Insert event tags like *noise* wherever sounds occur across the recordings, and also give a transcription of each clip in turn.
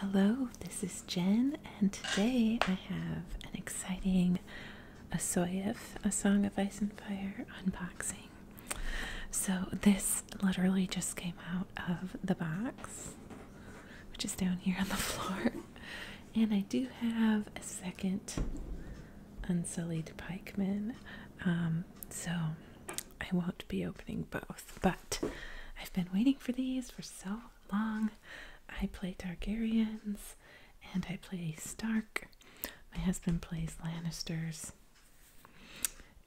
Hello, this is Jen, and today I have an exciting Asoyev, A Song of Ice and Fire unboxing. So, this literally just came out of the box, which is down here on the *laughs* floor. And I do have a second Unsullied Pikeman, um, so I won't be opening both but I've been waiting for these for so long. I play Targaryens and I play Stark. My husband plays Lannisters,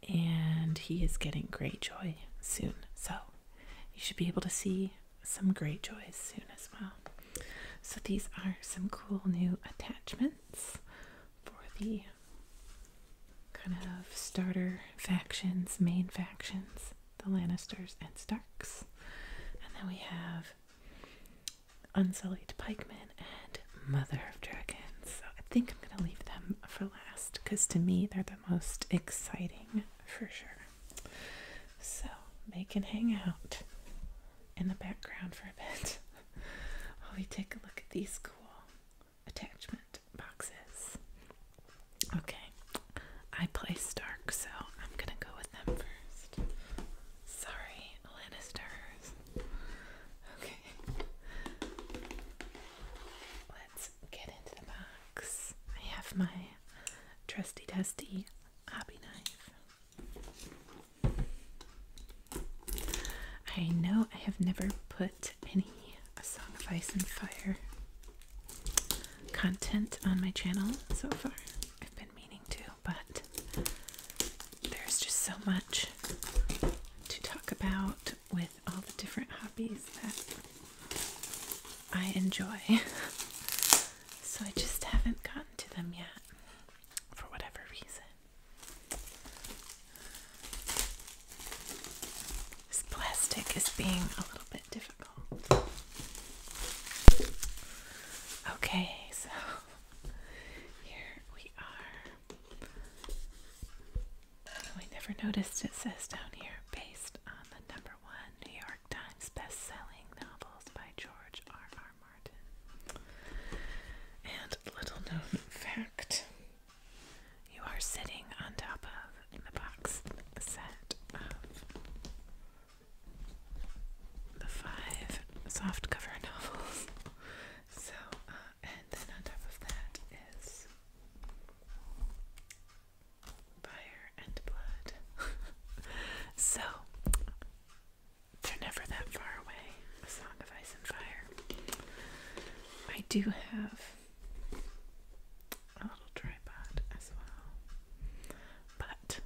and he is getting great joy soon, so you should be able to see some great Greyjoys soon as well. So, these are some cool new attachments for the kind of starter factions, main factions the Lannisters and Starks. And then we have Unsullied Pikemen and Mother of Dragons. So I think I'm going to leave them for last because to me they're the most exciting for sure. So they can hang out in the background for a bit *laughs* while we take a look at these cool attachment boxes. Okay, I play Stark, so I'm gonna go with them first. Sorry, Lannisters. Okay, let's get into the box. I have my trusty dusty hobby knife. I know I have never put any a Song of Ice and Fire content on my channel so far. I've been meaning to, but there's just so much to talk about with all the different hobbies that I enjoy. *laughs* so I just haven't gotten to them yet for whatever reason. This plastic is being a little bit difficult. Okay, so *laughs* here we are. Oh, never noticed it says down here based on the number one New York Times best-selling novels by George R. R. Martin. And little known fact you are sitting on top of, the box set of the five soft cover *laughs* novels. so, uh, and then on top of that is Fire and Blood. *laughs* so, they're never that far away. A Song of Ice and Fire. I do have a little tripod as well. But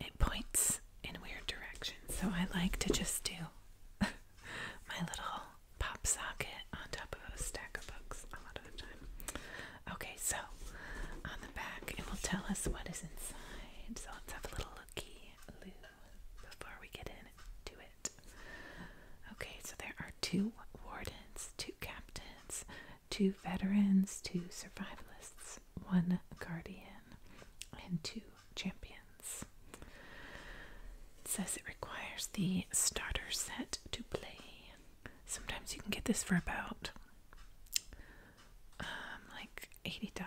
it points in weird directions, so I like to just do *laughs* my little pop socket on top of a stack of books a lot of the time. Okay, so on the back it will tell us what is inside. So let's have a little looky before we get into Okay, so there are two wardens, two captains, two veterans, two survivalists, one guardian, and two champions. It says it requires the starter set to play. Sometimes you can get this for about um, like $80.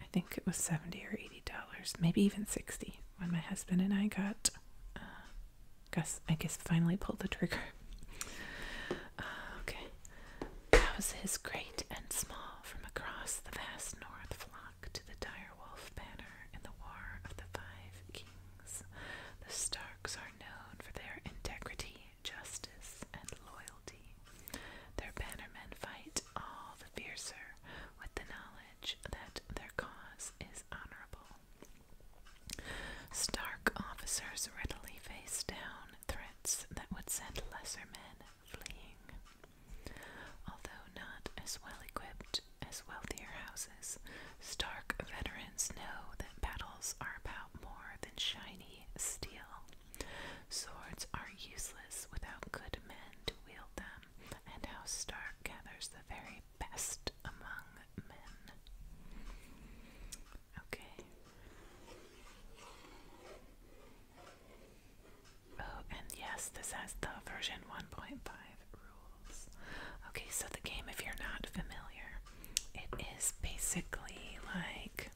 I think it was 70 or $80 maybe even sixty, when my husband and I got, uh, Gus, I guess, finally pulled the trigger. Uh, great and small from across the vast north flock to the dire banner in the War of the Five Kings. The Starks are known for their integrity, justice, and loyalty. Their bannermen fight all the fiercer with the knowledge that their cause is honorable. Stark officers readily face down threats that would send lesser men fleeing. Although not as well equipped as wealthier houses, Stark veterans know that battles are about more than shiny steel. Swords are useless without good men to wield them and how Stark gathers the very best among men. Okay. Oh, and yes, this has the version 1.5 rules. Okay, so the game, if you're not familiar, it is basically like.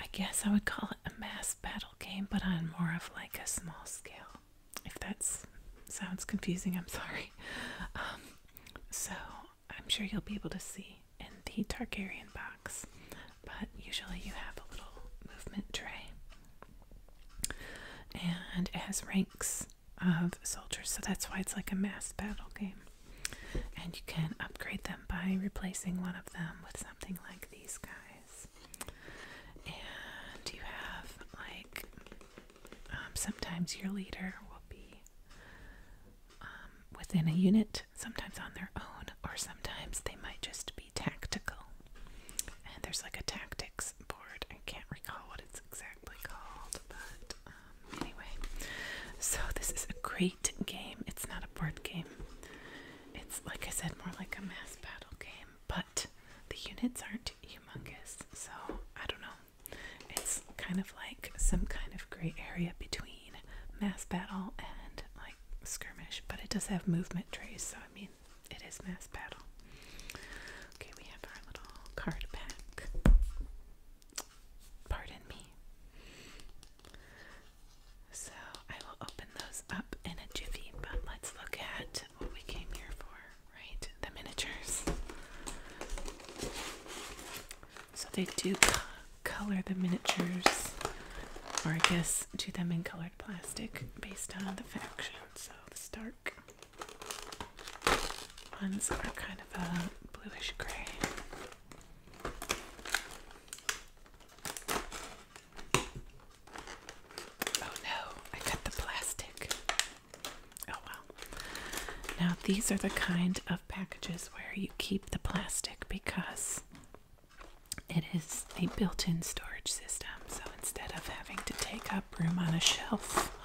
I guess I would call it a mass battle game, but on more of like a small scale if that sounds confusing, I'm sorry. Um, so I'm sure you'll be able to see in the Targaryen box, but usually you have a little movement tray, and it has ranks of soldiers, so that's why it's like a mass battle game. And you can upgrade them by replacing one of them with something like these guys. And you have like um, sometimes your leader will be um, within a unit, sometimes on their own, or sometimes they might just be tactical. And there's like a tactics board. I can't recall what it's exactly called, but um, anyway. So this is a great game. It's not a board game. It's like I said, more like a mass battle game, but the units aren't humongous, so I don't know. It's kind of like some kind of gray area between mass battle and like skirmish, but it does have movement trays, so I mean, it is mass battle. Okay, we have our little card pack. Pardon me. So I will open those up in a jiffy, but let's look at what we came here for, right? The miniatures. So they do color the miniatures, or I guess do them in colored plastic based on the faction. So the Stark ones are kind of a bluish gray. Oh no, I cut the plastic. Oh well. Now, these are the kind of packages where you keep the plastic because it is a built in storage system. So instead of having to take up room on a shelf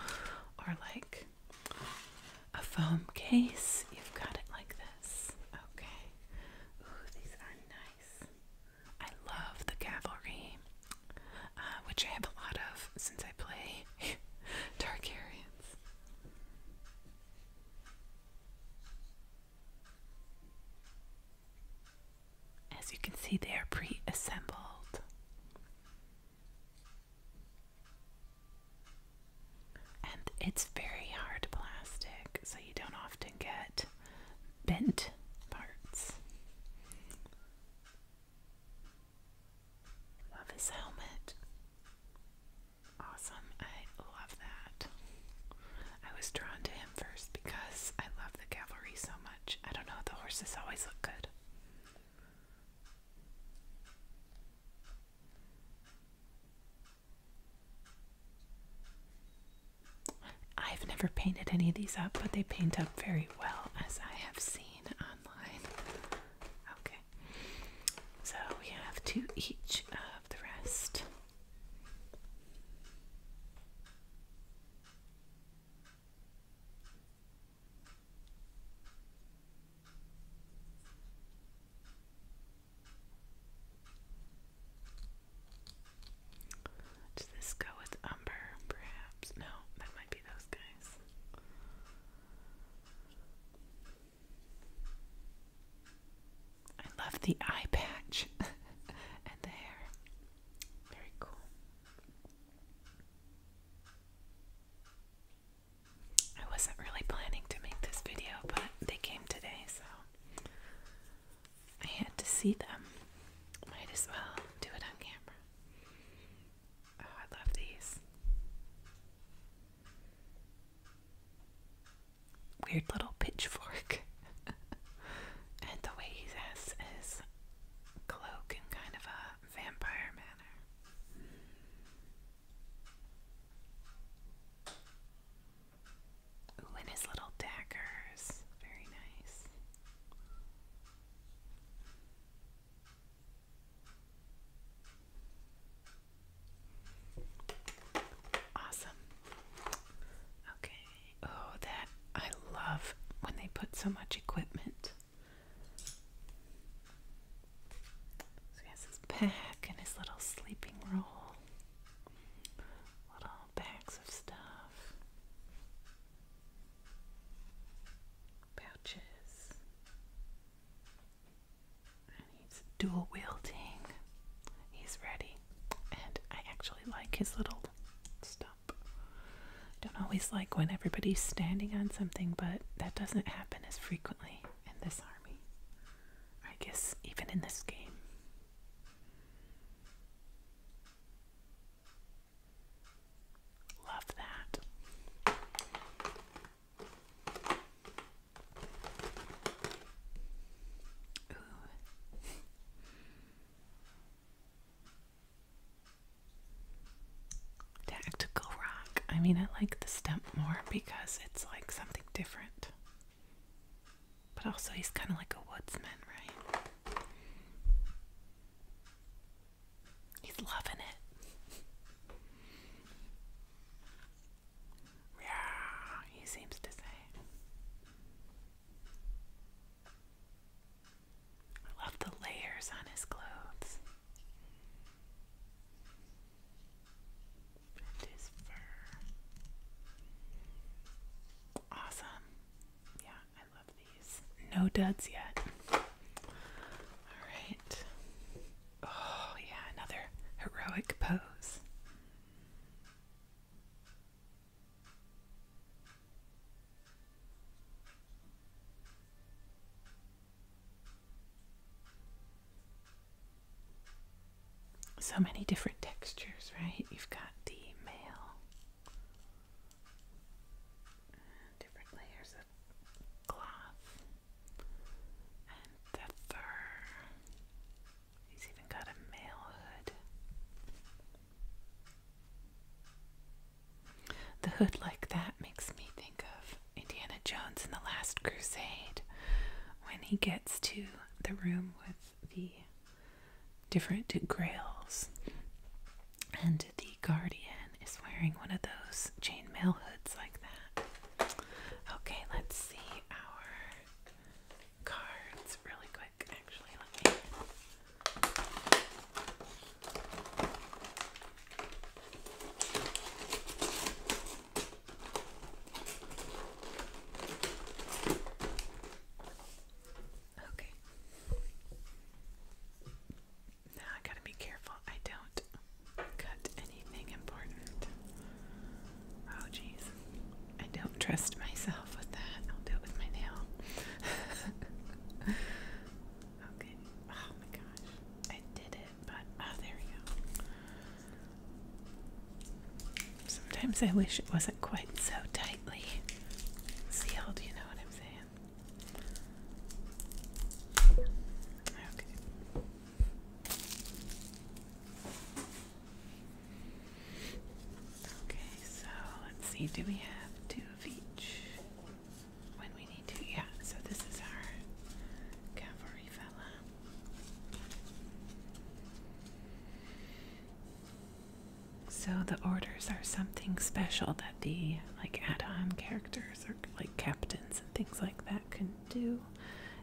or like a foam case, you've got it like this. Okay. Ooh, these are nice. I love the cavalry, uh, which I have a lot of since I play *laughs* Targaryens. As you can see, they are pre assembled. And it's very hard plastic, so you don't often get bent parts. Love his helmet. Awesome. I love that. I was drawn to him first because I love the cavalry so much. I don't know, the horses always look good. I've never painted any of these up, but they paint up very well, as I have seen online. Okay, so we have two each of the rest. Does this go with umber, perhaps? No, that might be those guys. I love the eye patch *laughs* and the hair. Very cool. I wasn't really planning to make this video, but they came today, so I had to see them. Might as well do it on camera. Oh, I love these. Weird little pitchfork. *laughs* and the way he has his cloak in kind of a vampire manner. Ooh, and his little daggers. Very nice. Awesome. Okay. Oh, that I love when they put so much equipment. So he has his pack and his little sleeping roll, little bags of stuff pouches, he's dual wielding. He's ready, and I actually like his little stump. I don't always like when everybody's standing on something, but that doesn't happen as frequently in this army. I guess even in this game. Love that. Tactical rock. I mean, I like the stump more because it's like something different. But also, he's kind of like a woodsman, right? He's loving it. yeah, he seems to say. I love the layers on his clothes. his fur. Awesome. Yeah, love these. No duds yet. All right. Oh, yeah, another heroic pose. So many different textures, right? You've got the male different layers of cloth and the fur. He's even got a male hood. The hood like that makes me think of Indiana Jones in The Last Crusade when he gets to the room with the different grails. And the Guardian is wearing one of those chainmail hoods like that. Okay, let's see our cards really quick. Actually, let me. Okay. Now I gotta be careful I don't cut anything important. Oh, jeez. I don't trust myself with that. I'll do it with my nail. *laughs* okay. Oh my gosh. I did it, but. Oh, there we go. Sometimes I wish it wasn't quite so tightly sealed, you know what I'm saying? Okay. Okay, so let's see, do we have two of each when we need to? Yeah, so this is our cavalry fella. So the orders are something special that the like add-on characters or like captains and things like that can do,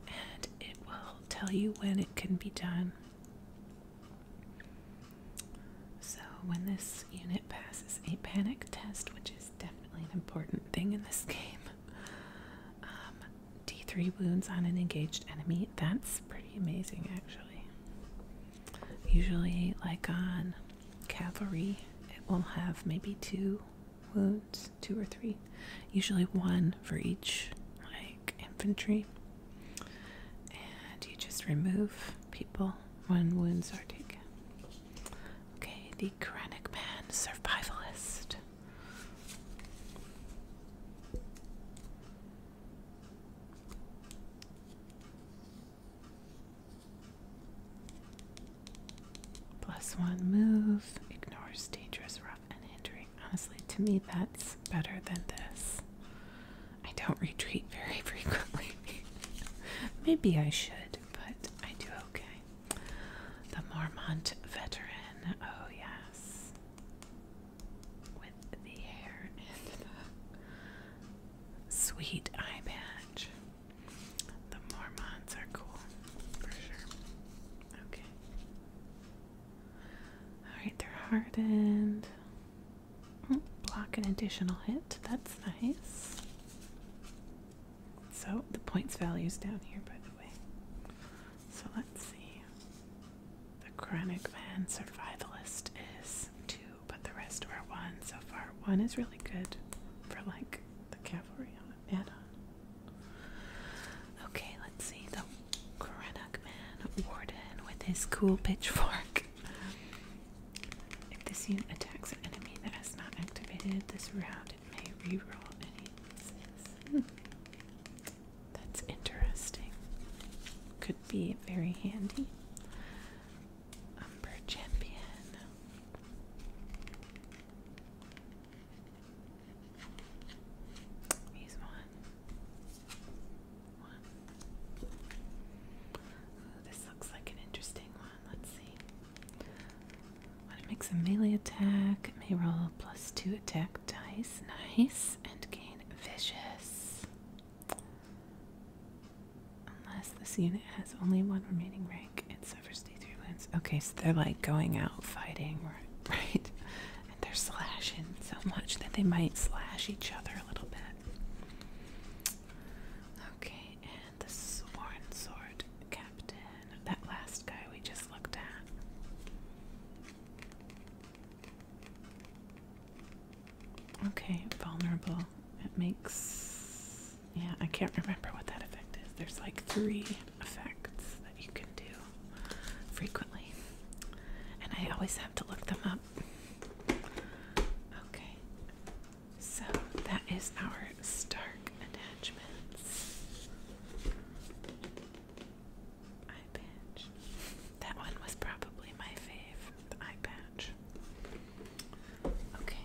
and it will tell you when it can be done. So when this unit passes a panic test, which is definitely an important thing in this *laughs* game, um, D3 wounds on an engaged enemy. That's pretty amazing, actually usually like on cavalry it will have maybe two wounds two or three usually one for each like infantry and you just remove people when wounds are taken okay the Krennic man survivalist Plus one move, ignores dangerous, rough, and hindering. Honestly, to me, that's better than this. I don't retreat very *laughs* frequently. Maybe I should, but I do okay. The Marmont veteran. Oh, yes with the hair and the sweet eye patch. The Mormons are cool, for sure. Okay. Alright, they're hardened. Hmm, block an additional hit. That's nice. So the points value is down here, by the way. So let's see. The chronic Man survivalist is two, but the rest are one so far. One is really good for like the cavalry add on. Okay, let's see. The Chronic man warden with his cool pitchfork. If this unit attacks an enemy that has not activated this round, it may reroll any. Hmm. That's interesting. Okay be very handy. Umber champion. He's one. One. this looks like an interesting one. Let's see. When it makes a melee attack, may roll plus two attack dice. Nice. And gain vicious. Unless this unit has only one remaining rank, it suffers D3 wounds. Okay, so they're like going out fighting, right? *laughs* right? And they're slashing so much that they might slash each other a little bit. Okay, and the Sworn Sword Captain, that last guy we just looked at. Okay, vulnerable. It makes. Yeah, I can't remember what that effect is. There's like three effects that you can do frequently, and I always have to look them up. Okay, so that is our Stark attachments. I bitch. That one was probably my fave, the eye patch. Okay.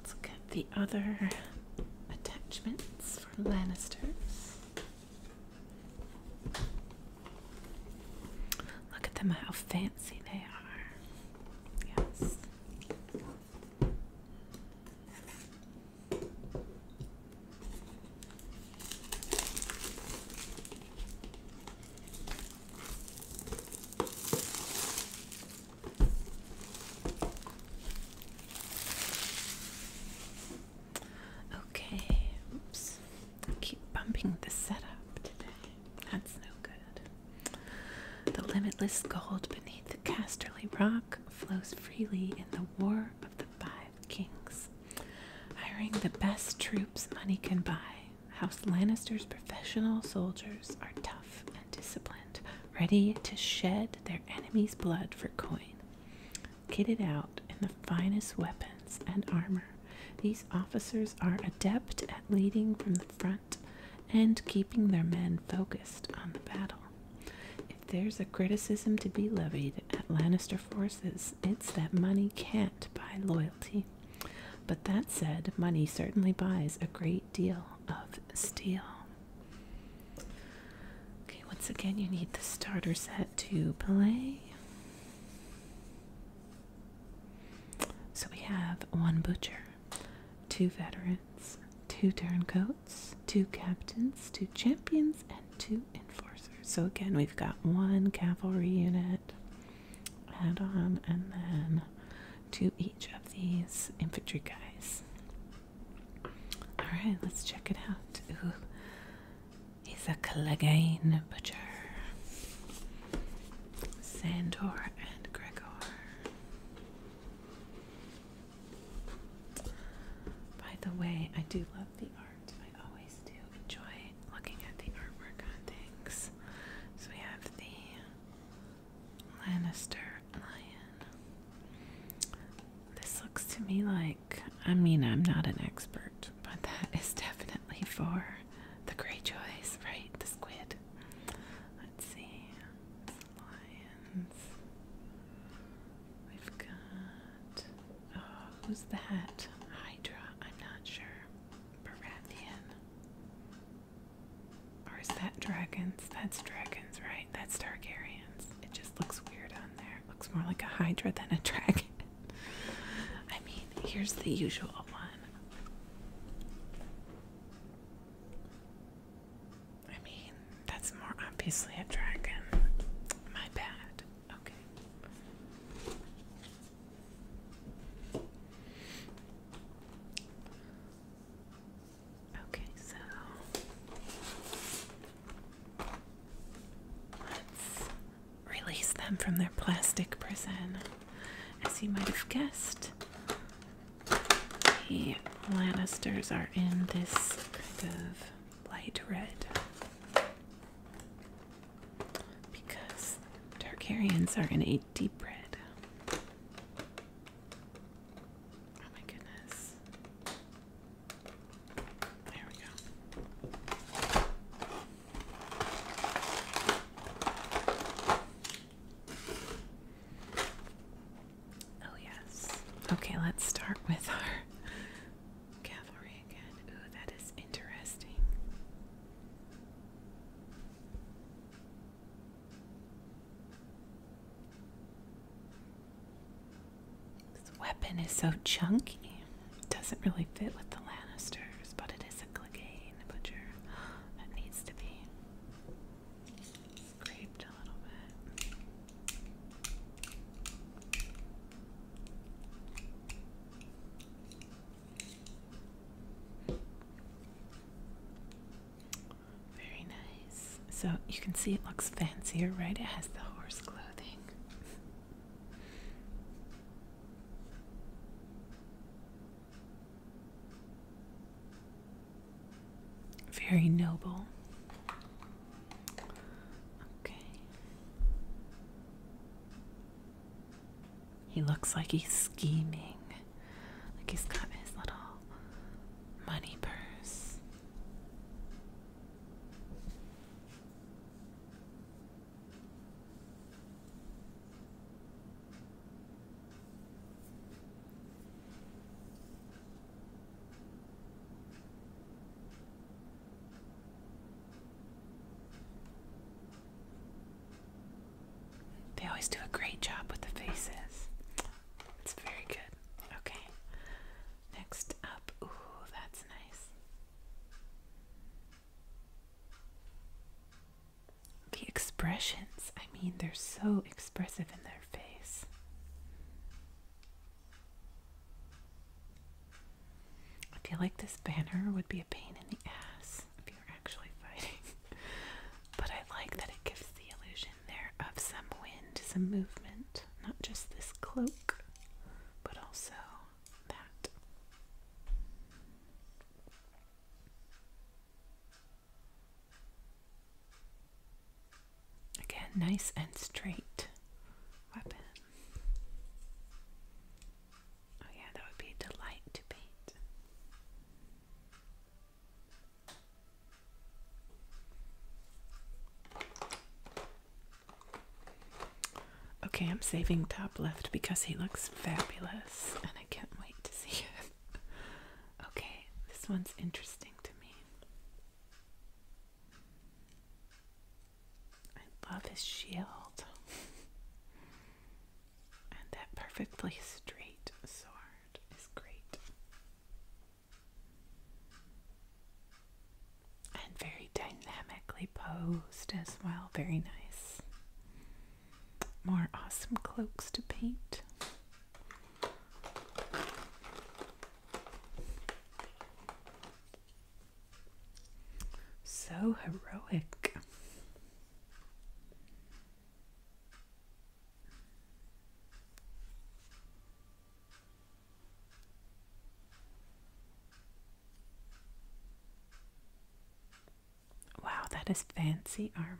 Let's look at the other attachments for Lannisters. Look at them, how fancy they are. Yes. Okay, oops. keep bumping the setup today. That's no good. The limitless gold beneath the casterly rock flows freely in the war of the Five kings, hiring the best troops money can buy. House Lannister's professional soldiers are tough and disciplined, ready to shed their enemy's blood for coin. Kitted out in the finest weapons and armor, these officers are adept at leading from the front and keeping their men focused on the battle. If there's a criticism to be levied at Lannister forces, it's that money can't buy loyalty. But that said, money certainly buys a great deal of steel. Okay, once again, you need the starter set to play. So we have one butcher, two veterans, two turncoats, two captains, two champions, and two enforcers. So again, we've got one cavalry unit add on and then two each of these infantry guys. Alright, let's check it out. Isak he's Butcher. Sandor and Gregor. By the way, I do love the art. I always do enjoy looking at the artwork on things. So we have the Lannister lion. This looks to me like, I mean, I'm not an expert, but that is definitely for the Greyjoys, right? The squid. Let's see. lions. We've got Oh, who's that? Hydra? I'm not sure. Baratheon. Or is that dragons? That's dragons, right? That's Targaryens. It just looks weird on there. looks more like a Hydra than a *laughs* dragon. I mean, here's the usual one. I mean, that's more obviously a dragon. My bad. Okay. Okay, so let's release them from their plastic prison. As you might have guessed, the Lannisters are in this kind of light red because Targaryens are gonna eat deep bread. Oh my goodness. There we go. Oh, yes. Okay, let's start with our Cavalry again. Ooh, that is interesting. This weapon is so chunky. It doesn't really fit with the Lannisters, but it is a Clegane butcher. That needs to be scraped a little bit. Very nice. So you can see it looks fancier, right? It has the horse clothing. Very noble. Okay. He looks like he's scheming. Like he's got his little money purse. They always do a great job with the faces. It's very good. Okay. Next up. Ooh, that's nice. The expressions. I mean, they're so expressive in their face. I feel like this banner would be a pain in the ass if you're actually fighting. *laughs* but I like that it gives the illusion there of some wind, some movement. Not just this cloak, but also that. Again, nice and straight weapon. Oh, yeah, that would be a delight to paint. Okay, I'm saving top left because he looks fabulous and I can't wait to see it. *laughs* okay, this one's interesting to me. I love his shield. and that perfectly straight sword is great. And very dynamically posed as well. Very nice. More awesome cloaks to paint. So heroic. Wow, that is fancy armor.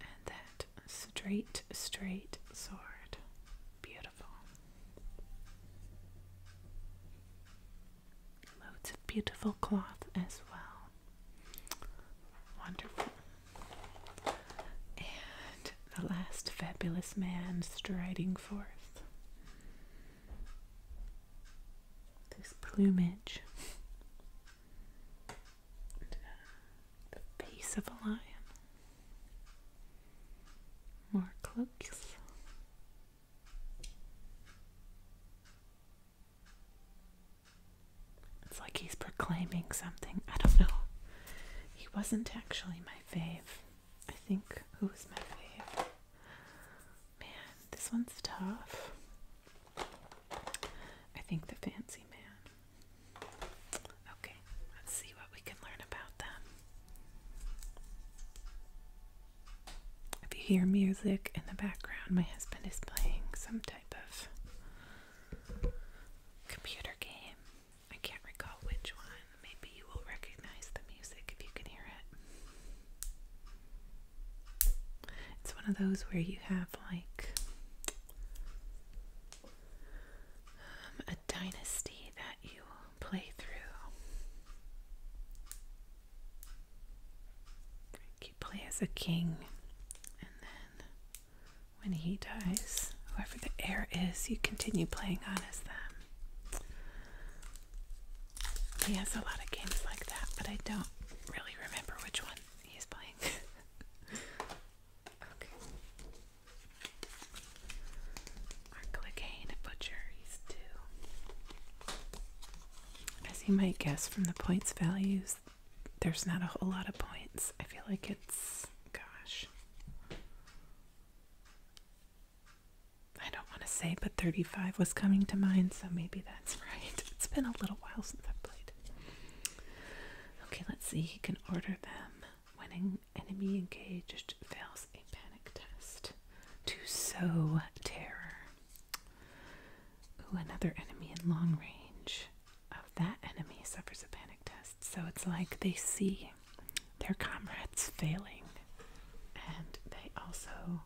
And that straight, straight, sword. Beautiful. Loads of beautiful cloth as well. Wonderful. And the last fabulous man striding forth. This plumage. The face of a lion. More cloaks. It's like he's proclaiming something. I don't know. He wasn't actually my fave. I think who was my fave? Man, this one's tough. I think the fancy man. Okay, let's see what we can learn about them. If you hear music in the background, my husband is playing some type of computer game. I can't recall which one. Maybe you will recognize the music if you can hear it. It's one of those where you have like um, dynasty that you play through. Like you play as a king, and then when he dies, whoever the heir is, you continue playing on as them. He has a lot of games like that, but I don't really remember which one he's playing. *laughs* okay. Arclicaine butcheries too. As you might guess from the points values, there's not a whole lot of points. I feel like it's gosh. I don't want to say, but 35 was coming to mind, so maybe that's *laughs* right. It's been a little while since I've played. Okay, let's see. He can order them. Winning enemy engaged fails a panic test to sow terror. Ooh, another enemy in long range of that enemy suffers a panic test. So it's like they see their comrades failing and they also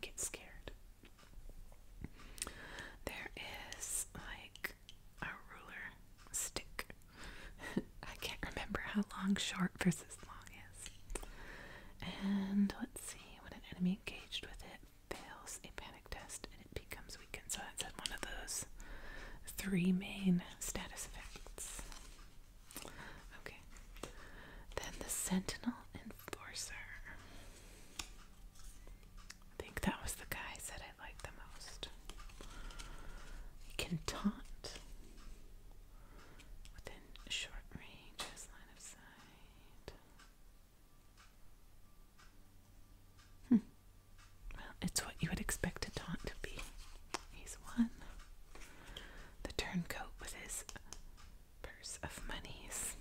get scared. There is like a ruler, stick. *laughs* I can't remember how long short versus long is. And let's see, when an enemy engaged with it fails a panic test and it becomes weakened. So that's one of those three main status effects. Okay. Then the Sentinel Enforcer. I think that was the guy I said like the most. You can taunt within short range line of sight. Hmm. Well, it's what you would expect a taunt to be. He's one. The turncoat with his purse of monies.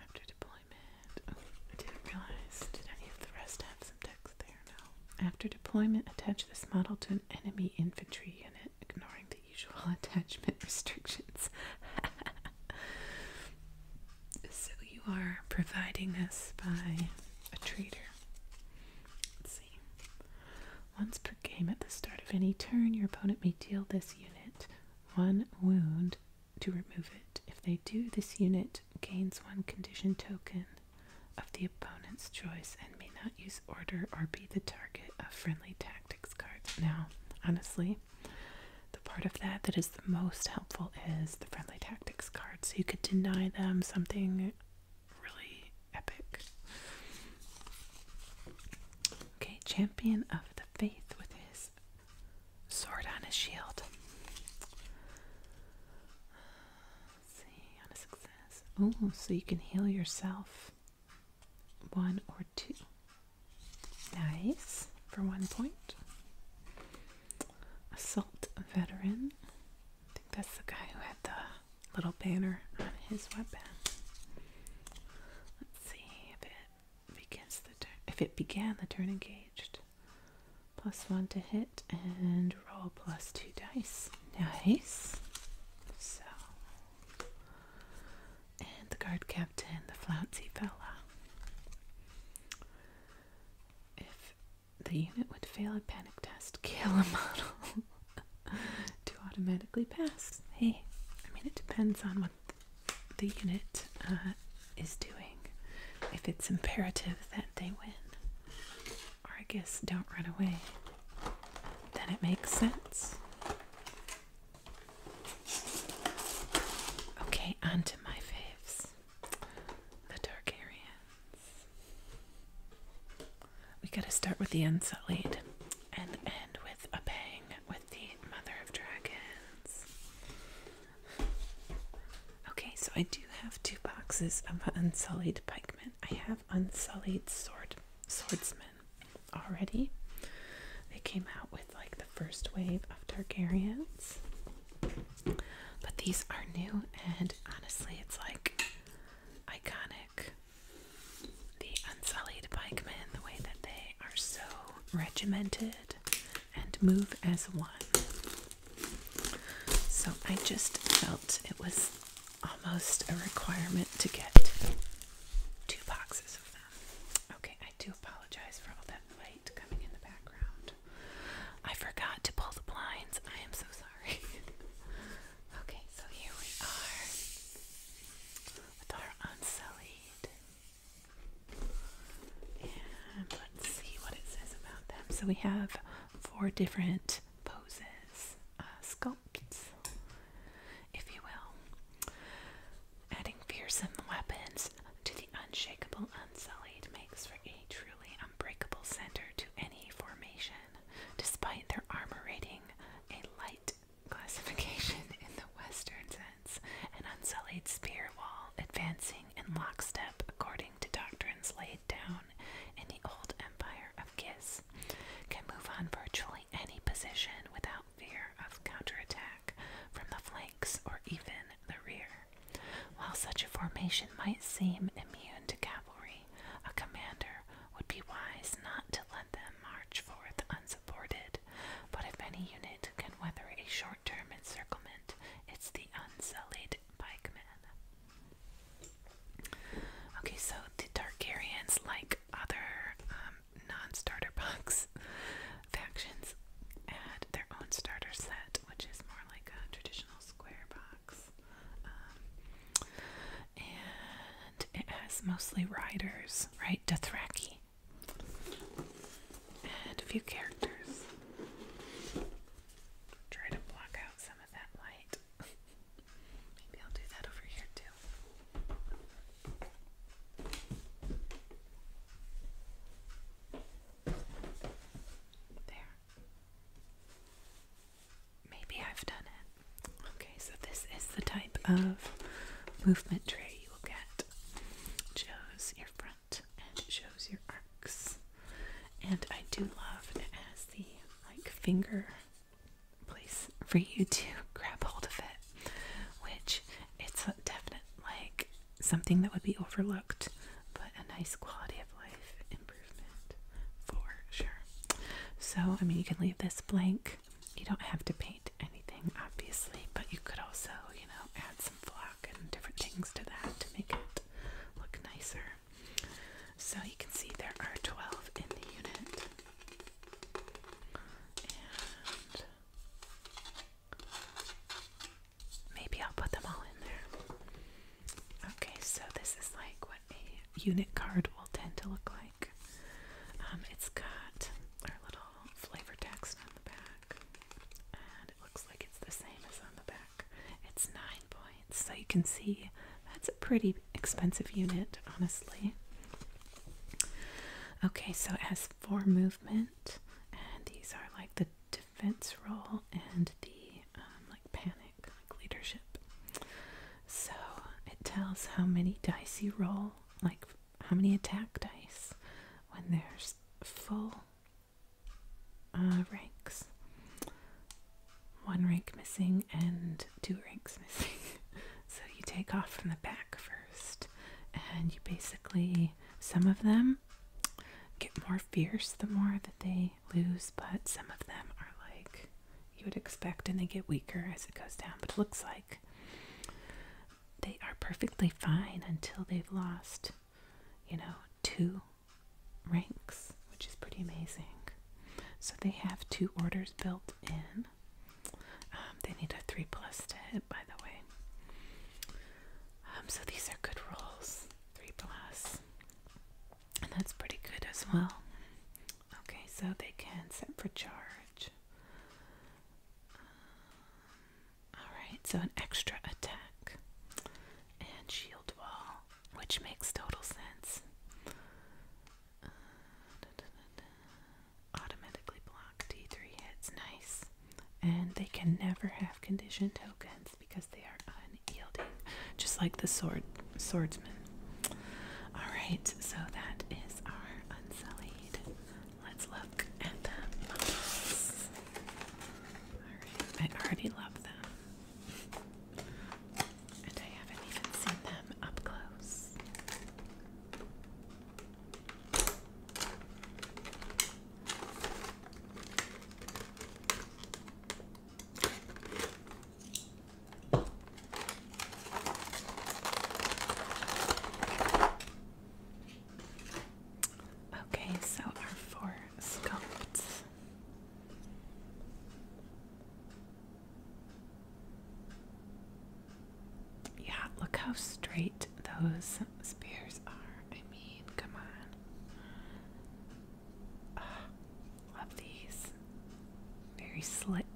After deploying I didn't realize. Did any of the rest have some text there? No. After deployment, attach this model to an enemy infantry unit, ignoring the usual *laughs* attachment restrictions. *laughs* so you are providing us by a traitor. see. Once per game at the start of any turn, your opponent may deal this unit one wound to remove it. If they do, this unit gains one condition token of the opponent's choice and may not use order or be the target of friendly tactics cards. Now, honestly, the part of that that is the most helpful is the friendly tactics cards. So you could deny them something really epic. Okay, champion of the faith with his Sword on his shield. see, on a success. Oh, so you can heal yourself. One or two. Nice. For one point. Assault veteran. I think that's the guy who had the little banner on his weapon. Let's see if it begins the if it began the turn engaged plus one to hit and roll plus two dice. Nice. So, and the guard captain, the flouncy fella. If the unit would fail a panic test, kill a model *laughs* to automatically pass. Hey, I mean, it depends on what the unit uh, is doing if it's imperative that they win. Or I don't run away. Then it makes sense. Okay, onto my faves. The Dark Targaryens. We gotta start with the Unsullied and end with a bang with the Mother of Dragons. Okay, so I do have two boxes of unsullied pikemen. I have unsullied sword swordsmen already. They came out with like the first wave of Targaryens. But these are new and honestly it's like iconic. The unsullied pikemen, the way that they are so regimented and move as one. So I just felt it was almost a requirement to get two boxes of them. Okay, I do apologize for all that light coming in the background. I forgot to pull the blinds. I am so sorry. *laughs* okay, so here we are with our unsullied and let's see what it says about them. So we have four different poses, uh, sculptures, if you will. Adding fearsome weapons to the unshakable unsullied makes for a truly unbreakable center to any formation, despite their armor rating a light classification in the Western sense, an unsullied spear wall advancing in lockstep according to doctrines laid down in the old empire of Giz, can move on virtually any position without fear of counterattack from the flanks or even the rear. While such a formation might seem immune to cavalry, a commander would be wise not to let them march forth unsupported. But if any unit can weather a short term encirclement, it's the unsullied great pikemen. Okay, so the Targaryens, like other um, non-starter bugs *laughs* factions, add their own starter set, which is more like a traditional square box. Um, and it has mostly riders, right? Dothraki. And a few characters. Try to block out some of that light. Maybe I'll do that over here too. There. Maybe I've done it. Okay, so this is the type of movement tray you will get. It shows your front and it shows your arcs. And I do love it as the like finger place for you to *laughs* grab hold of it, which it's a definite like something that would be overlooked, but a nice quality of life improvement for sure. So I mean you can leave this blank. You don't have to paint anything obviously, but you could also, you know, add some flowers and different things to that to make it look nicer. So you can see there are 12 in the unit. And maybe I'll put them all in there. Okay, so this is like what a unit card will tend to look like. Um, it's got our little flavor text on the back. And it looks like it's the same as on the back. It's nine points. So you can see that's a pretty expensive unit, honestly. Okay, so it has four movement, and these are like the defense roll and the um, like panic, like leadership. So it tells how many dice you roll, like how many attack dice when there's full uh, ranks. One rank missing and two ranks missing. *laughs* so you take off from the back first, and you basically, some of them get more fierce the more that they lose, but some of them are like you would expect and they get weaker as it goes down. But it looks like they are perfectly fine until they've lost, you know, two ranks, which is pretty amazing. So they have two orders built in. Um, they need a 3 plus to hit, by the way. Um, so these are good rolls 3 And that's pretty good as well. Okay, so they can set for charge. Um, Alright, so an extra attack and shield wall, which makes total sense. Automatically block D3 hits, nice. And they can never have condition tokens because they are unyielding, just like the sword swordsman. Alright, so that is our unsullied. Let's look at the I already love them. And I haven't even seen them up close. Okay, so our four sculpts. Yeah, look how straight those spears are. I mean, come on. Ah, love these. Very slick.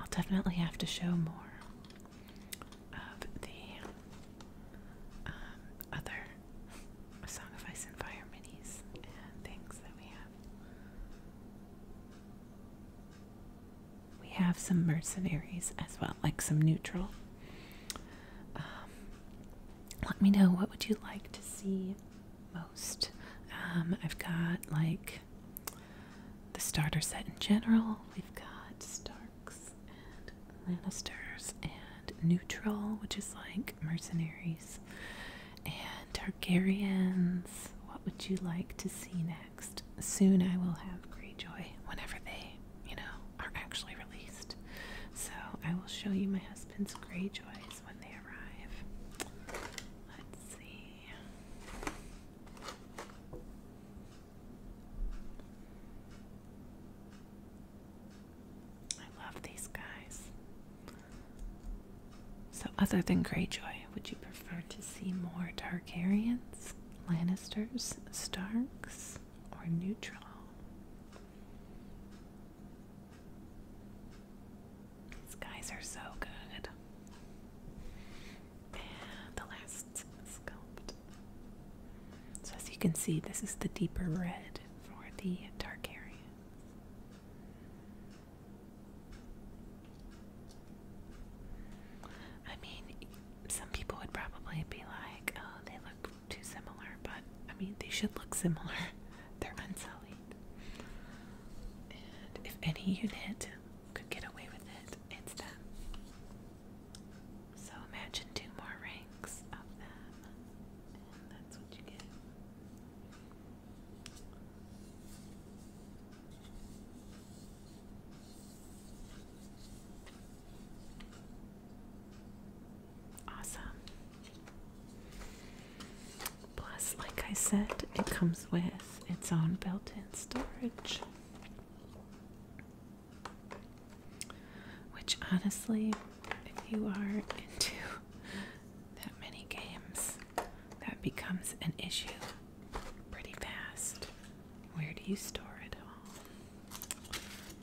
I'll definitely have to show more of the um, other Song of Ice and Fire minis and things that we have. We have some mercenaries as well, like some neutral. Um, let me know what would you like to see most um, I've got like the starter set in general. We've got Starks and Lannisters and Neutral, which is like mercenaries and Targaryens. What would you like to see next? Soon I will have Greyjoy whenever they, you know, are actually released. So I will show you my husband's Greyjoy when they arrive. Let's see. I love these guys. So, other than Greyjoy, would you prefer to see more Targaryens, Lannisters, Starks, or neutral? These guys are so good. the last sculpt. So as you can see, this is the deeper red for the Targaryen. I mean, some people would probably be like, oh, they look too similar, but I mean, they should look similar. *laughs* They're unsullied. And if any unit could get away with it, it's them. So imagine two more ranks of them, and that's what you get. Awesome. Plus, like I said, it comes with its own built in storage. Which, honestly, if you are into that many games, that becomes an issue pretty fast. Where do you store it all?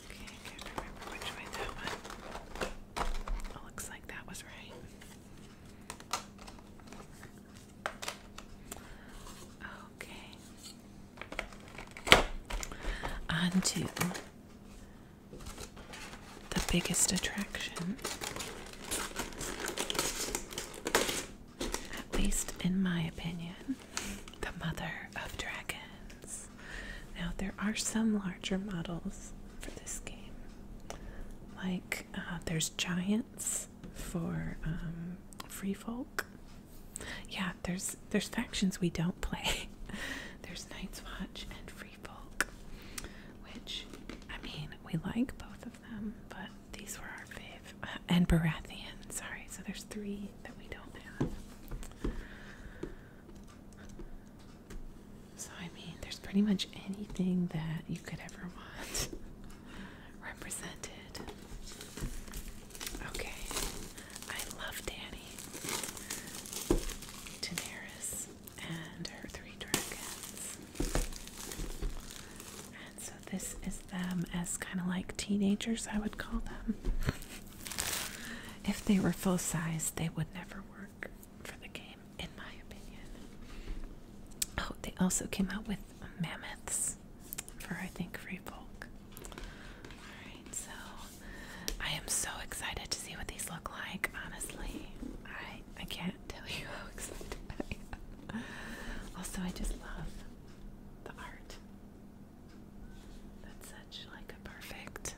Okay, I can't remember which way that went. looks like that was right. Okay. On the biggest attraction, at least in my opinion, the Mother of Dragons. Now, there are some larger models for this game, like uh, there's giants for um, free folk. Yeah, there's there's factions we don't play. *laughs* there's Night's Watch and Free Folk, which I mean we like both of them, but these were our fave. Uh, and Baratheon, sorry. So there's three that we don't have. So, I mean, there's pretty much anything that you could ever want *laughs* represented. Okay, I love Danny, Daenerys, and her three dragons. And so, this is them as kind of like teenagers, I would call them. *laughs* if they were full size, they would never work for the game, in my opinion. Oh, they also came out with mammoths for I think Free Folk. Alright, so I am so excited to see what these look like, honestly. I I can't *laughs* tell you how excited Also I just love the art. That's such like a perfect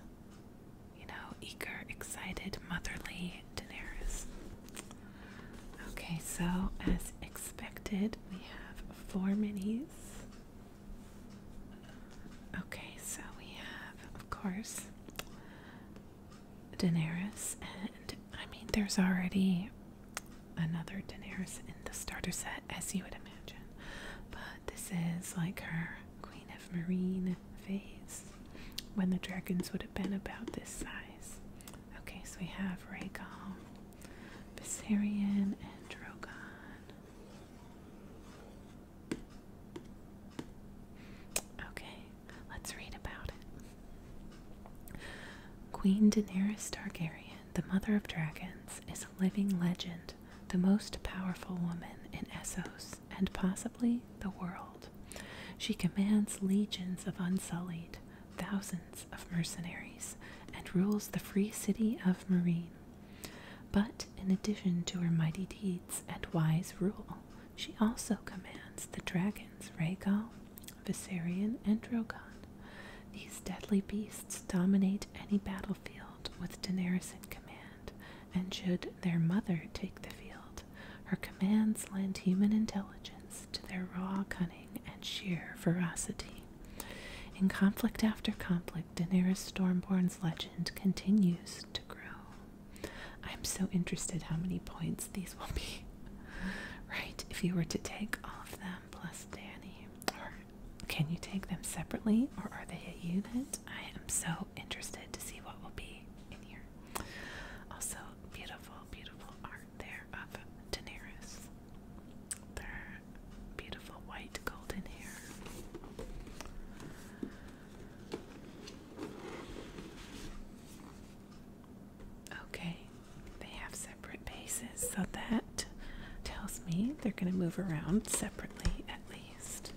you know, eager, excited, motherly Daenerys. Okay, so as expected, we have four minis. Okay, so we have, of course, Daenerys, and I mean, there's already another Daenerys in the starter set, as you would imagine, but this is like her Queen of Marine phase when the dragons would have been about this size. Okay, so we have Rhaegal, Viserion, and Okay, let's read about it. Queen Daenerys Targaryen, the mother of dragons, is a living legend, the most powerful woman in Essos and possibly the world. She commands legions of unsullied, thousands of mercenaries, and rules the free city of Marine. But in addition to her mighty deeds and wise rule, she also commands the dragons Rhaegal, Viserion, and Drogon. These deadly beasts dominate any battlefield with Daenerys in command, and should their mother take the field, her commands lend human intelligence to their raw cunning and sheer ferocity. In conflict after conflict, Daenerys Stormborn's legend continues to grow. I'm so interested how many points these will be. *laughs* Right, if you were to take all of them plus Danny, can you take them separately, or are they a unit? I am so interested to see what will be in here. Also, beautiful, beautiful art there of Daenerys. Their beautiful white golden hair. Okay, they have separate bases, so that tells me they're going to move around separately at least.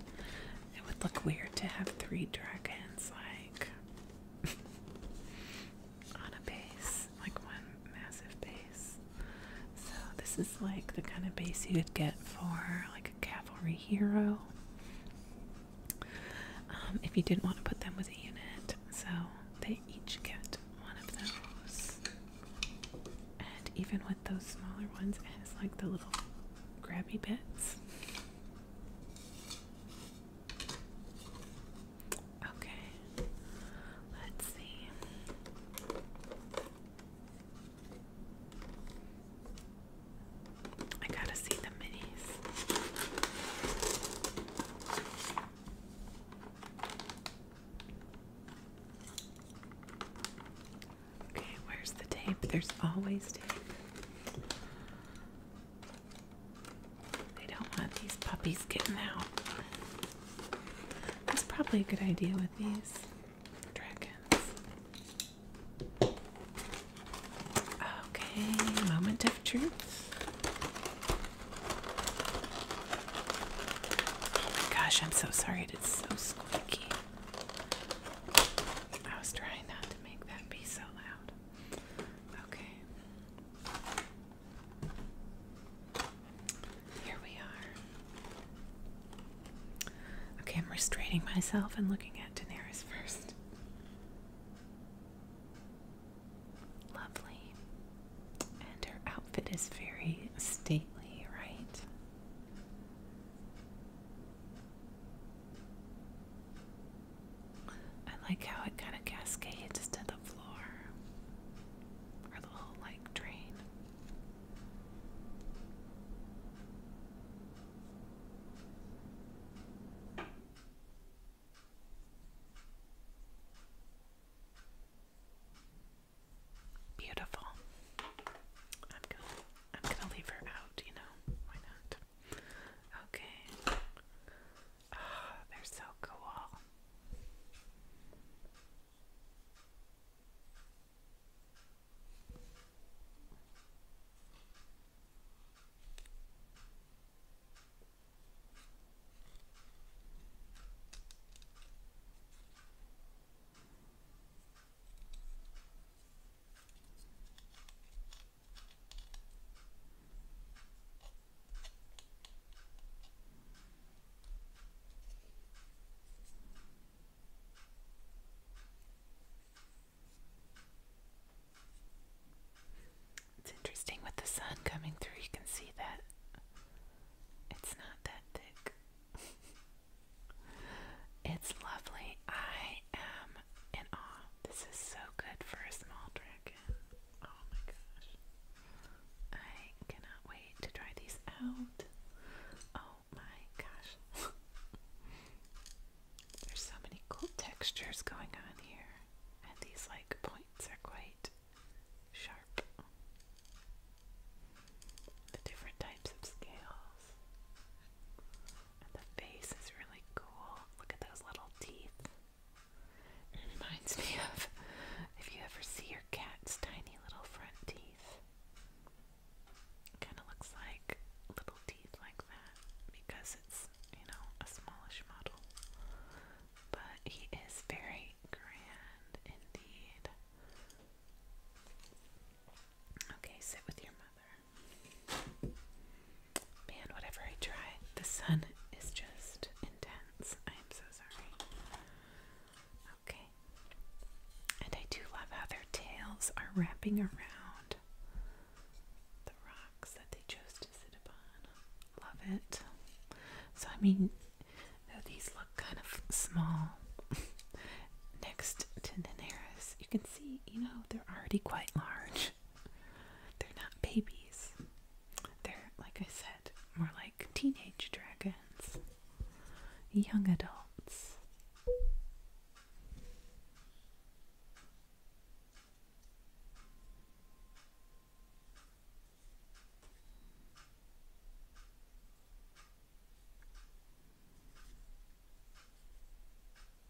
It would look weird to have three dragons lines like *laughs* on a base, like one massive base. So this is like the kind of base you would get for like a cavalry hero. Um, if you didn't want to put them with a unit, so they each get one of those. And even with those smaller ones, it has like the little grabby bits. Okay, let's see. I gotta see the minis. Okay, where's the tape? There's always tape. They don't want these puppies getting out. That's probably a good idea with these dragons. Okay, moment of truth. gosh, I'm so sorry. It's so squeaky. I was trying not to make that be so loud. Okay. Here we are. Okay, I'm restraining myself and looking at Daenerys first. Lovely. And her outfit is very stately, right? I like how it kind of cascades to the floor or the whole like drain. Beautiful. I'm gonna I'm gonna leave her out, you know. Why not? Okay. Oh, they're so cool. It's interesting with the sun coming through, you can see that it's not that thick. *laughs* it's lovely. I am in awe. This is so good for a small dragon. Oh my gosh. I cannot wait to try these out. Oh my gosh. *laughs* There's so many cool textures going on here. And these like points are quite sharp. The different types of scales. And the face is really cool. Look at those little teeth. It reminds me of if you ever see your cat's tiny little front teeth. Kind of looks like little teeth like that because it's, you know, a smallish model. But he is very grand indeed. Okay, sit with your mother. Man, whatever I try, the sun is just intense. I am so sorry. Okay. And I do love how their tails are wrapping around the rocks that they chose to sit upon. Love it. So, I mean, these look kind of small *laughs* next to Daenerys, you can see, you know, they're already quite large. They're not babies. They're, like I said, more like teenage dragons, young adults.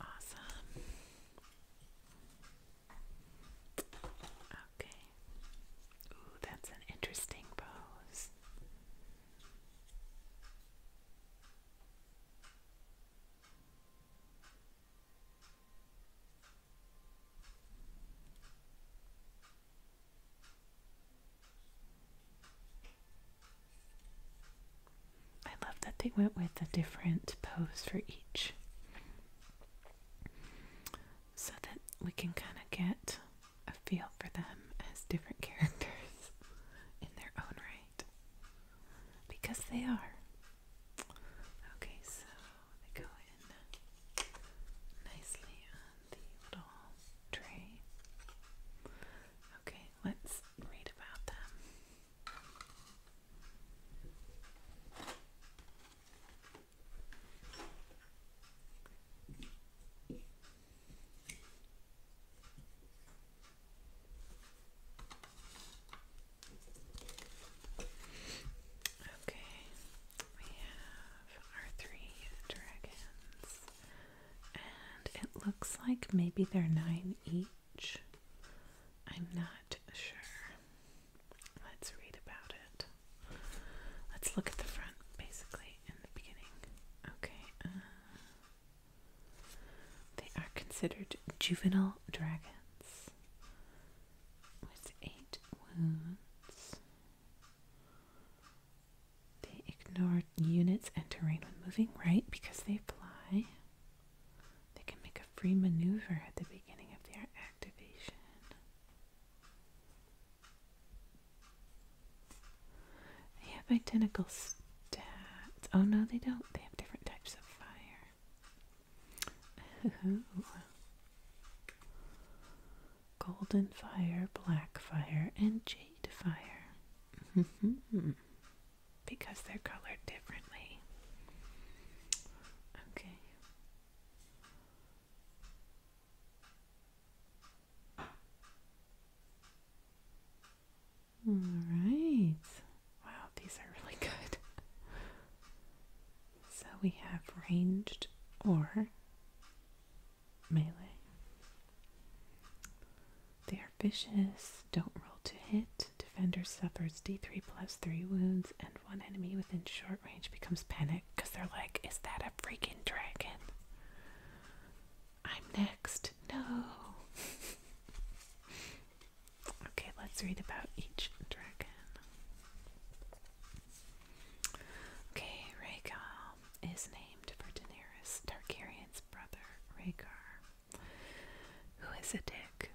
Awesome. Okay. Ooh, that's an interesting pose. I love that they went with a different pose for each so that we can kind of get a feel for them as different characters *laughs* in their own right because they are. Okay, so they go in nicely on the little tray. Okay, let's read about them. Okay, we have our three dragons and it looks like maybe they're nine each. I'm not sure. Let's read about it. Let's look at the front basically in the beginning. Okay. Uh, they are considered juvenile dragons with eight wounds. They ignore units and terrain when moving, right? Because they fly, they can make a free maneuver at the beginning of their activation. They have identical stats. Oh no, they don't. They have different types of fire. Golden fire, black fire, and jade to fire, mm-hmm. because they're colored differently. Okay. All right. Wow, these are really good. So we have ranged or melee. They are vicious, don't roll to hit. Defender suffers d3 plus 3 wounds, and one enemy within short range becomes panicked because they're like, Is that a freaking dragon? I'm next. No. *laughs* okay, let's read about each dragon. Okay, Rhaegal is named for Daenerys Targaryen's brother, Rhaegar, who is a dick.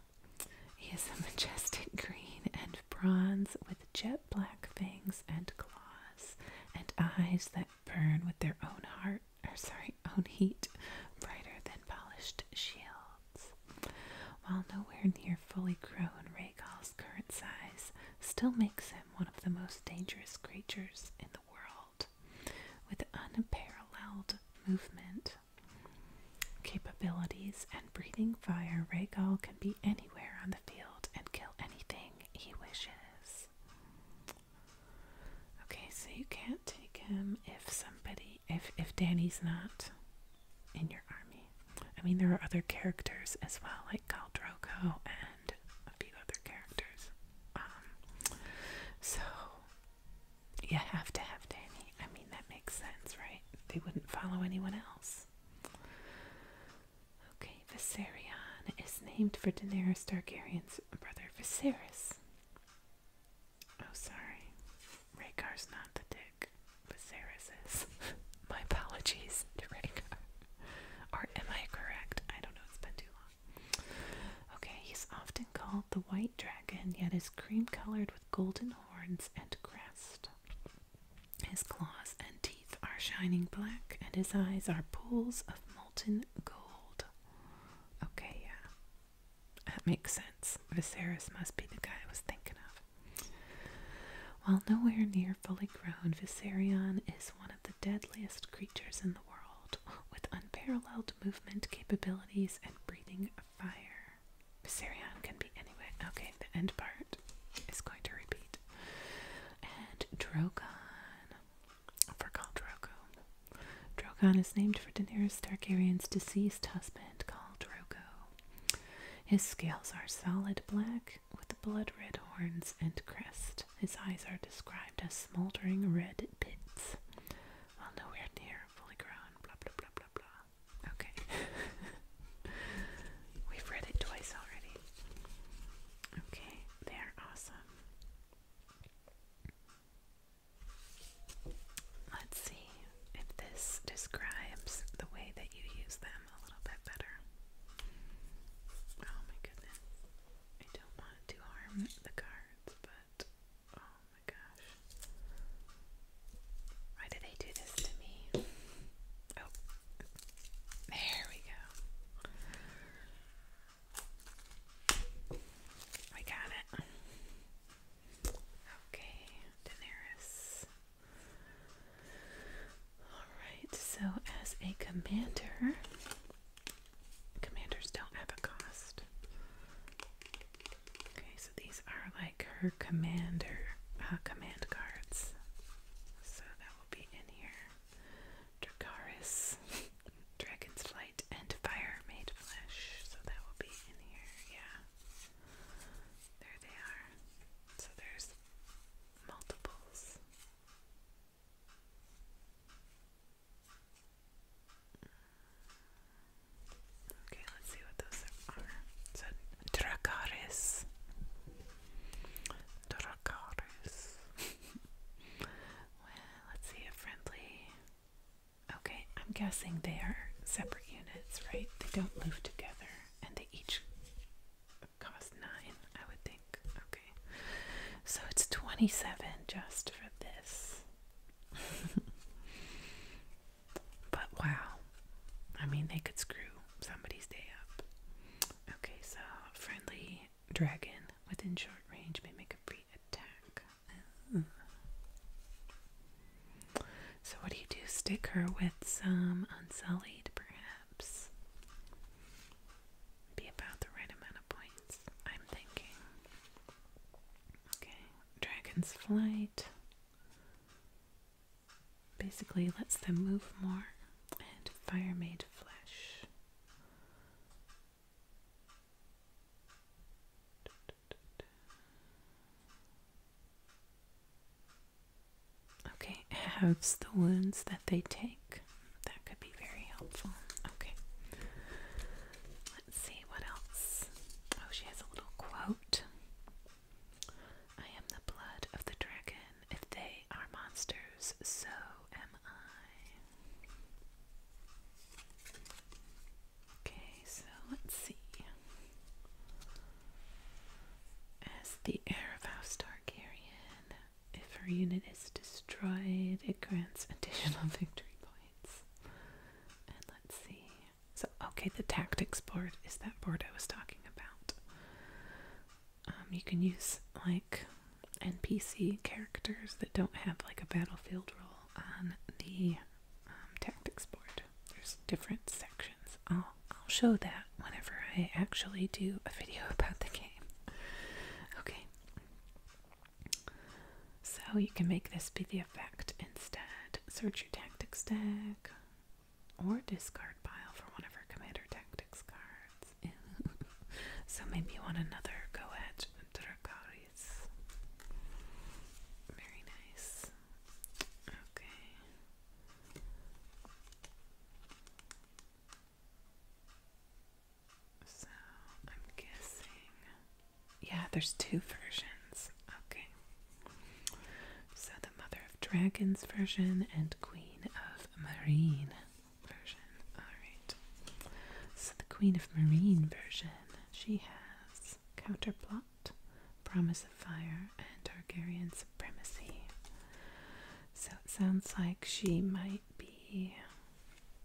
He is a *laughs* majestic green and bronze with jet black fangs and claws and eyes that burn with their own heart sorry, own heat, brighter than polished shields. While nowhere near fully grown, Rhaegar's current size still makes him one of the most dangerous creatures in the world with unparalleled movement capabilities and breathing fire. Regal can be anywhere on the field and kill anything he wishes. Okay, so you can't take him if somebody if if Danny's not in your army. I mean, there are other characters as well, like Khal and a few other characters. Um, so you have to have Danny. I mean, that makes sense, right? They wouldn't follow anyone else. Okay, Viserion is named for Daenerys Targaryen's brother Viserys. Oh, sorry. Rhaegar's not the dick. Viserys is. *laughs* My apologies to Rhaegar. Or am I correct? I don't know, it's been too long. Okay, he's often called the white dragon, yet is cream colored with golden horns and crest. His claws and teeth are shining black, and his eyes are pools of molten gold. Okay, yeah. That makes sense. Viserys must be the guy I was thinking of. While nowhere near fully grown, Viserion is one of the deadliest creatures in the world with unparalleled movement capabilities and breathing fire. Viserion can be anywhere. Okay, the end part is going to repeat. And Drogon. For called Drogon is named for Daenerys Targaryen's deceased husband, called Drogo. His scales are solid black with blood red horns and crest his eyes are described as smoldering red pits. Well, nowhere near fully grown, blah blah blah blah blah. Okay. *laughs* We've read it twice already. Okay, they're awesome. Let's see if this describes the way that you use them a little bit better. Oh my goodness. I don't want to harm the cards, but oh my gosh. Why do they do this to me? Oh, there we go. I got it. Okay, Daenerys. Alright, so as a commander, commanders don't have a cost. Okay, so these are like her commander uh, command cards. So that will be in here. Dracaris, *laughs* Dragon's Flight, and Fire Made Flesh. So that will be in here, yeah. There they are. So there's multiples. Okay, let's see what those are. So, dracaris. Dracaris. *laughs* well, let's see friendly. Okay, I'm guessing they are separate units, right? They don't move together and they each cost nine, I would think. Okay. So it's 27 just for this. *laughs* but wow. I mean, they could screw somebody's day up. Okay, so friendly dragon within short range may make a free attack. Mm. So, what do you do? Stick her with some unsullied, perhaps? be about the right amount of points, I'm thinking. Okay, Dragon's Flight basically lets them move more, and Fire Made Flesh. Okay, halves the wounds that they take that could be very helpful. Okay. Let's see what else. Oh, she has a little quote. I am the blood of the dragon. If they are monsters, so am I. Okay, so let's see. As the heir of House Targaryen, if her unit is destroyed, it grants additional *laughs* victory points. And let's see. So, okay, the tactics board is that board I was talking about. Um, you can use like NPC characters that don't have like a battlefield role on the um, tactics board. There's different sections. I'll, I'll show that whenever I actually do a video *laughs* about the game. Okay, so you can make this be the effect instead. Search your tactics stack or discard pile for one of her commander tactics cards. *laughs* so maybe you want another Goethe Dracaris. Very nice. Okay. So I'm guessing, yeah, there's two versions. Okay. So the Mother of Dragons version and Queen of Marine version. Alright. So the Queen of Marine version, she has Counterplot, Promise of Fire, and Targaryen Supremacy. So it sounds like she might be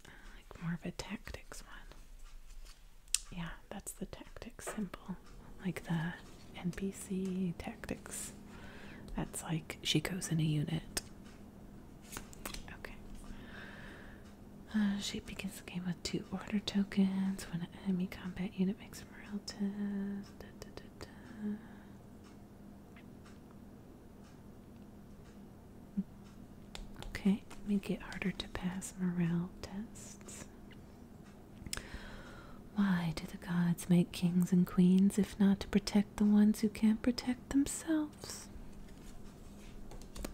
like more of a tactics one. Yeah, that's the tactics symbol. Like the NPC tactics. That's like she goes in a unit. Okay. Uh, she begins the game with two order tokens. When an enemy combat unit makes a morale test. Okay, make it harder to pass morale tests. Why do the gods make kings and queens if not to protect the ones who can't protect themselves?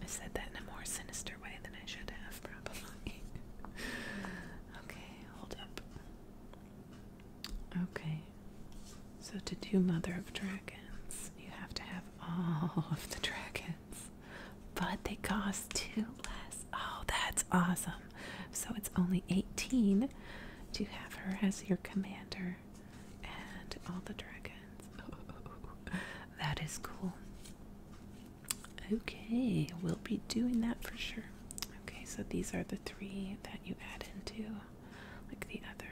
I said that in a more sinister way than I should have, probably. *laughs* okay, hold up. Okay, so, to do Mother of Dragons, you have to have all of the dragons, but they cost two less. Oh, that's awesome! So, it's only 18 to have her as your commander and all the dragons. *laughs* that is cool. Okay, we'll be doing that for sure. Okay, so these are the three that you add into like the other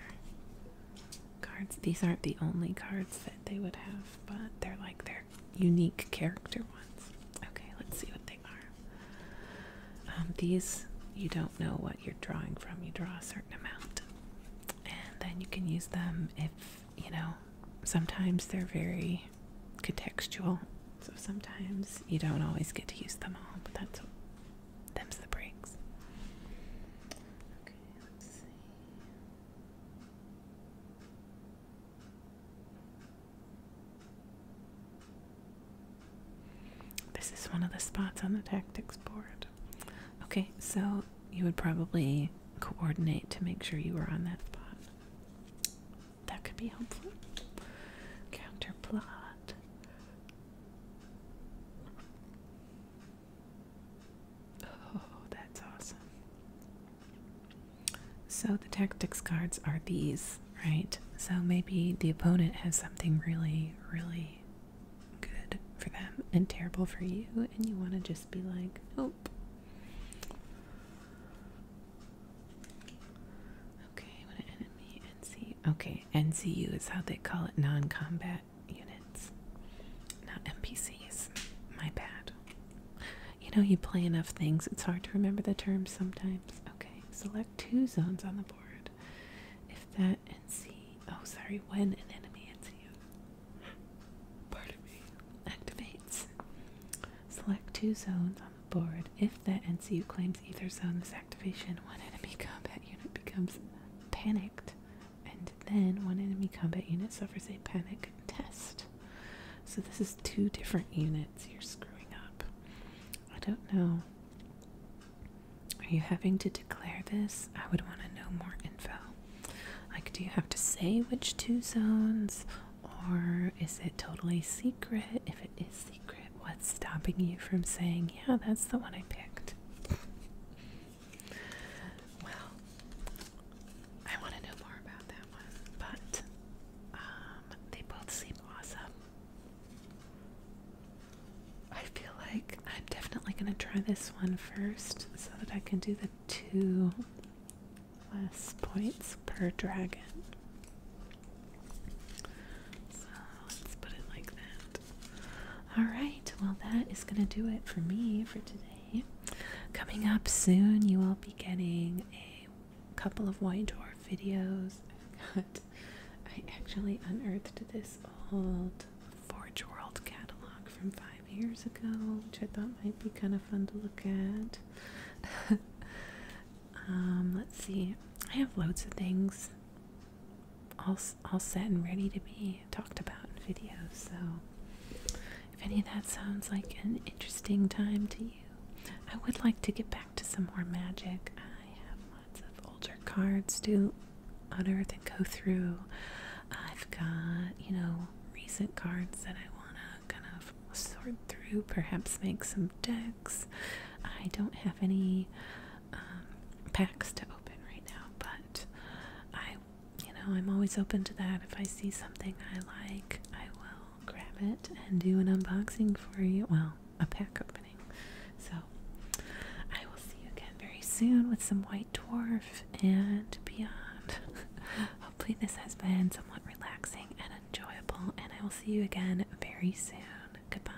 cards. These aren't the only cards that they would have, but they're like their unique character ones. Okay, let's see what they are. Um, these you don't know what you're drawing from, you draw a certain amount, and then you can use them if you know. Sometimes they're very contextual, so sometimes you don't always get to use them all, but that's Them's the breaks. Okay, let's see. This is one of the spots on the tactics board. Okay, so you would probably coordinate to make sure you were on that spot. That could be helpful. Counterplot. Oh, that's awesome. So the tactics cards are these, right? So maybe the opponent has something really, really good for them and terrible for you, and you want to just be like, nope. Okay, what an enemy NC. Okay, NCU is how they call it non combat combat units, not NPCs. My bad. You know, you play enough things, it's hard to remember the terms sometimes. Okay, select two zones on the board. If that and Oh, sorry, when an enemy hits you. Pardon Activates. Select two zones on the board. If that NCU claims either zone this activation, one enemy combat unit becomes panicked and then one enemy combat unit suffers a panic test. So this is two different units you're screwing up. I don't know. Are you having to declare this? I would want to know more info. Like, do you have to say which two zones? Or is it totally secret? If it is secret, what's stopping you from saying, yeah, that's the one I picked? well, I want to know more about that one, but um, they both seem awesome. I feel like I'm definitely going to try this one first so that I can do the two less points per dragon. Let's put it like that. All right, well, that is going to do it for me for today. Coming up soon, you will be getting a couple of white dwarf videos. i got, I actually unearthed this old Forge World catalog from five years ago, which I thought might be kind of fun to look at. *laughs* Um, let's see, I have loads of things all all set and ready to be talked about in video. So, if any of that sounds like an interesting time to you, I would like to get back to some more magic. I have lots of older cards to unearth and go through. I've got, you know, recent cards that I want to kind of sort through, perhaps make some decks. I don't have any um, packs to open right now, but I, you know, I'm always open to that. If I see something I like, I will grab it and do an unboxing for you. Well, a pack opening. So I will see you again very soon with some White Dwarf and beyond. *laughs* Hopefully, this has been somewhat relaxing and enjoyable, and I will see you again very soon. Goodbye.